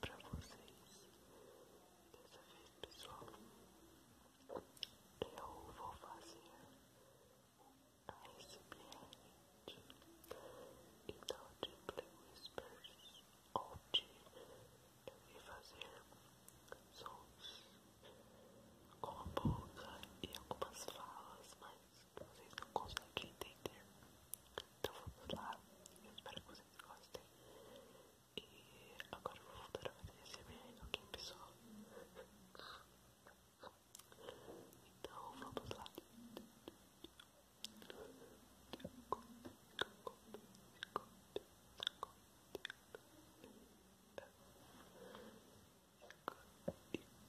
para vocês. Dessa vez, pessoal, eu vou fazer a ASMR de Inaudible Whispers Hoje eu irei fazer sons com a boca e algumas falas, mas vocês não conseguem entender. Então vamos lá, espero que vocês gostem. E agora eu vou voltar a fazer esse vídeo, ok, pessoal? Então vamos lá. Tic, tic, tic, tic,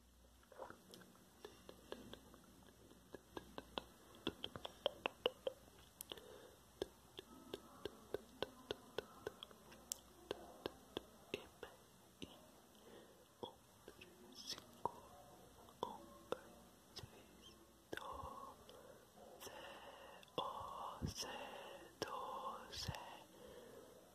doze, doze,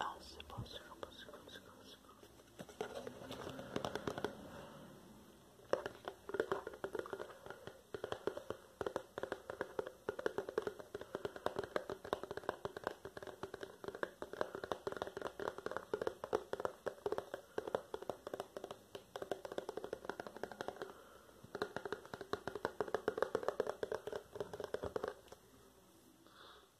I was supposed to go, supposed to go, supposed to go.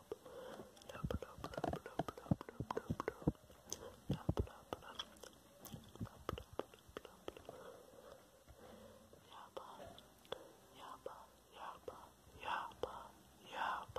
Yaba, yaba, yaba,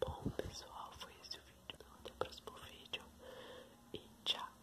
Bom pessoal, foi esse o vídeo. Então, até o próximo vídeo. E tchau.